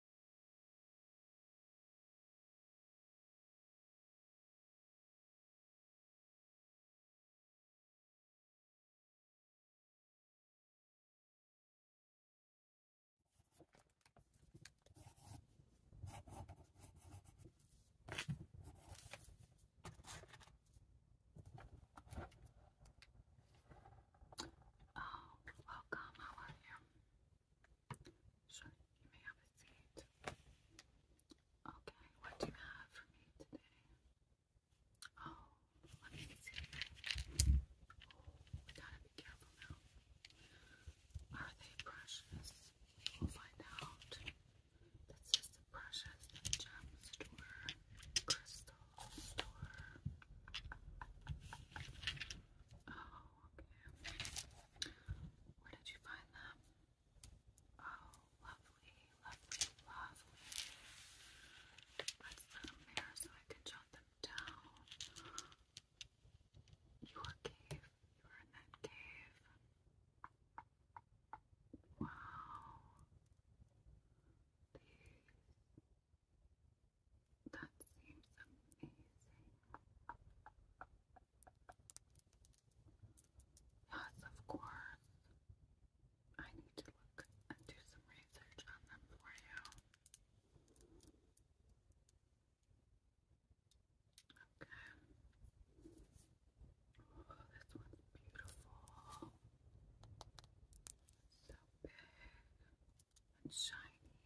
Oh, welcome. How are you? Sure, you may have a seat. Okay, what do you have for me today? Oh, let me see. Oh, we gotta be careful now. Are they precious? We'll find out. This is the precious gem store crystal. Oh, okay. Where did you find them? Oh, lovely, lovely, lovely. Let's put them there so I can jot them down. Your cave. You were in that cave. Wow. These that seems amazing. Yes, of course. I need to look and do some research on them for you. Okay. Oh, this one's beautiful. so big and shiny.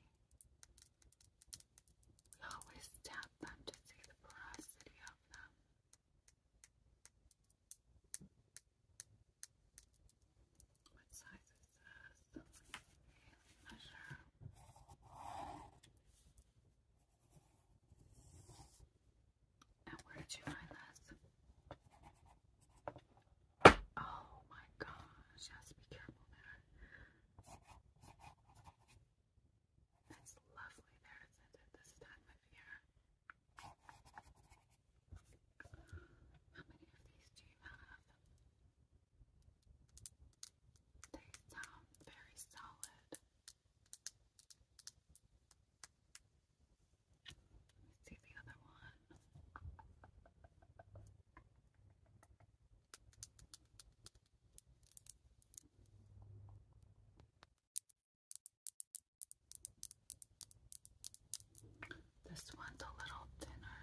We always tap them to see the porosity of them. What size is this? Measure. And where did you find this? Oh my gosh, has to be careful there. That's lovely there, isn't it? This time of year. How many of these do you have? They sound very solid let see the other one. This one's a little thinner.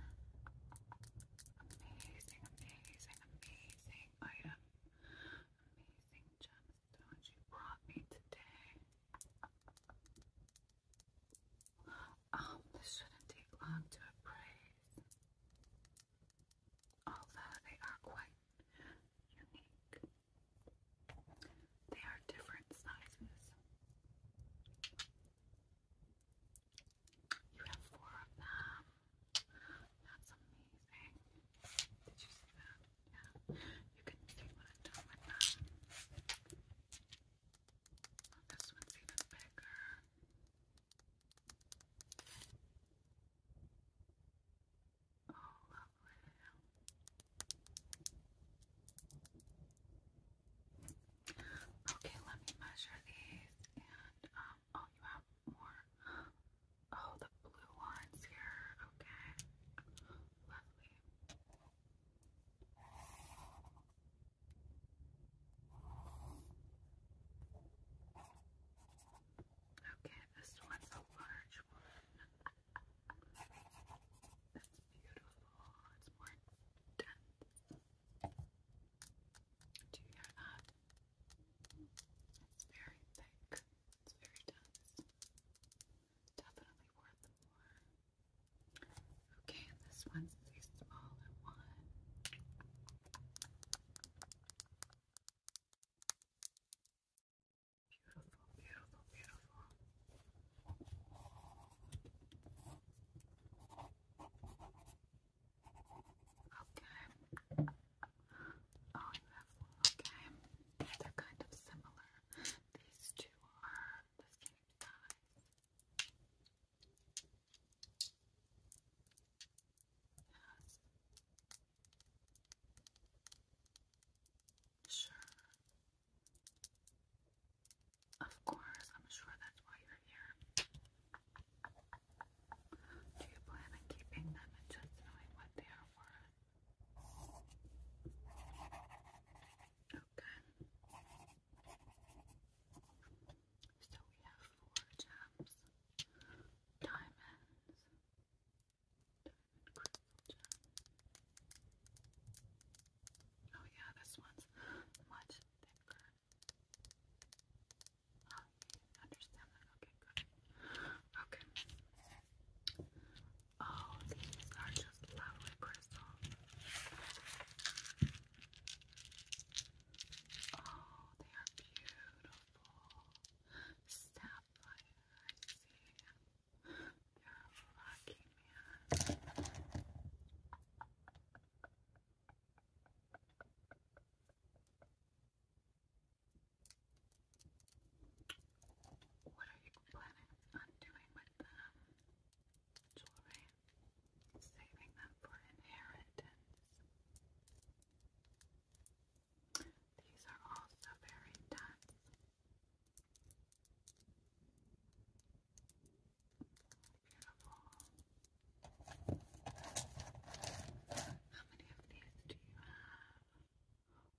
Amazing, amazing, amazing item. Amazing gemstones you brought me today. Um, this shouldn't take long to appraise, although they are quite unique. They are different sizes. You have four of them. That's amazing. Did you see that? Yeah. You can see what I've with them. Oh, this one's even bigger. Oh, lovely. Okay, let me measure these and um, oh you have more. Oh the blue ones here. Okay. Lovely. Okay, this one's a large one. That's beautiful. It's more dense. Do you hear that? It's very thick. It's very dense. Definitely worth more. Okay, this one's the smaller one. Beautiful, beautiful, beautiful. Okay. Oh, you have one. Okay. They're kind of similar. These two are the same size. Yes. Sure. Of course, I'm sure that's why you're here. Do you plan on keeping them and just knowing what they are worth? So we have four gems, diamonds, diamond crystal gem. Oh yeah, this one's much thicker. Oh, you understand that? Okay, good. Okay. Oh, these are just lovely crystals. Oh, they are beautiful. Sapphire, I see. You're a lucky man. What are you planning on doing with them? Um, jewelry? Saving them for inheritance. These are also very dense. Beautiful. How many of these do you have?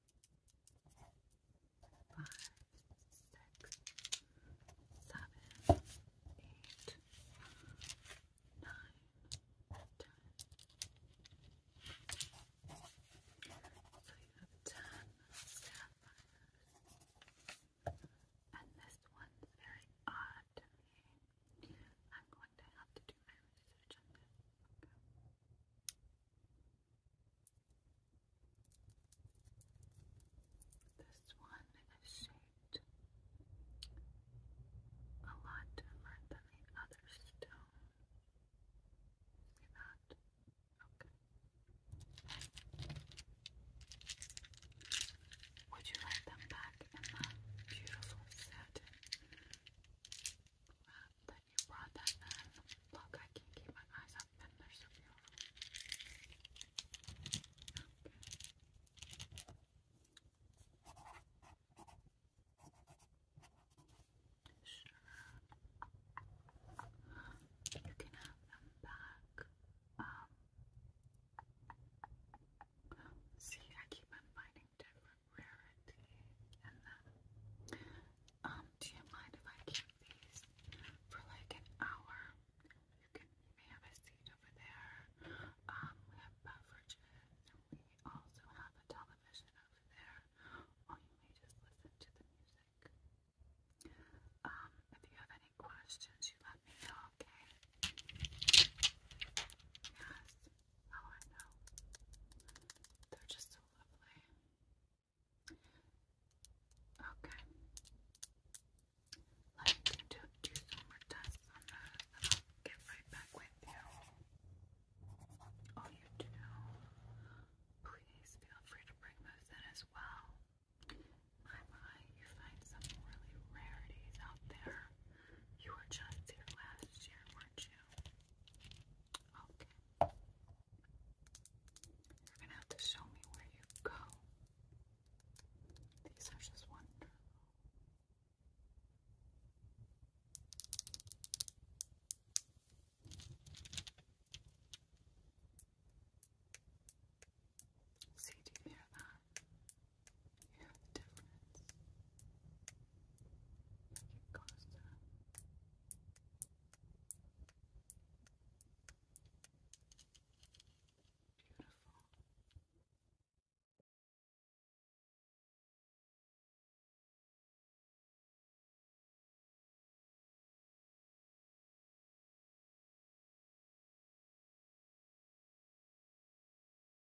five, six, seven, eight, nine, ten. So you have ten And this one's very odd to me. I'm going to have to do my research this one is shaped a lot different than the other stone. See that? Okay. Would you like them back in the beautiful satin that you brought that in. Look, I can't keep my eyes up, and they're so beautiful. Okay. Sure. You can have them back. Um, see, I keep finding different rarity. And then, um, do you mind if I keep these for like an hour? You can you may have a seat over there. Um, we have beverages, and we also have a television over there. Or you may just listen to the music. Um, if you have any questions, you let me know, okay? Yes. Oh, I know. They're just so lovely. Okay. Let me do, some more tests on that, get right back with you. Oh, you do. Please feel free to bring those in as well. My, my, you find some really rarities out there. You were just here last year, were you? Okay. You're gonna have to show me where you go. These are just wonderful. See, do you hear that? You the difference. Like it goes Beautiful.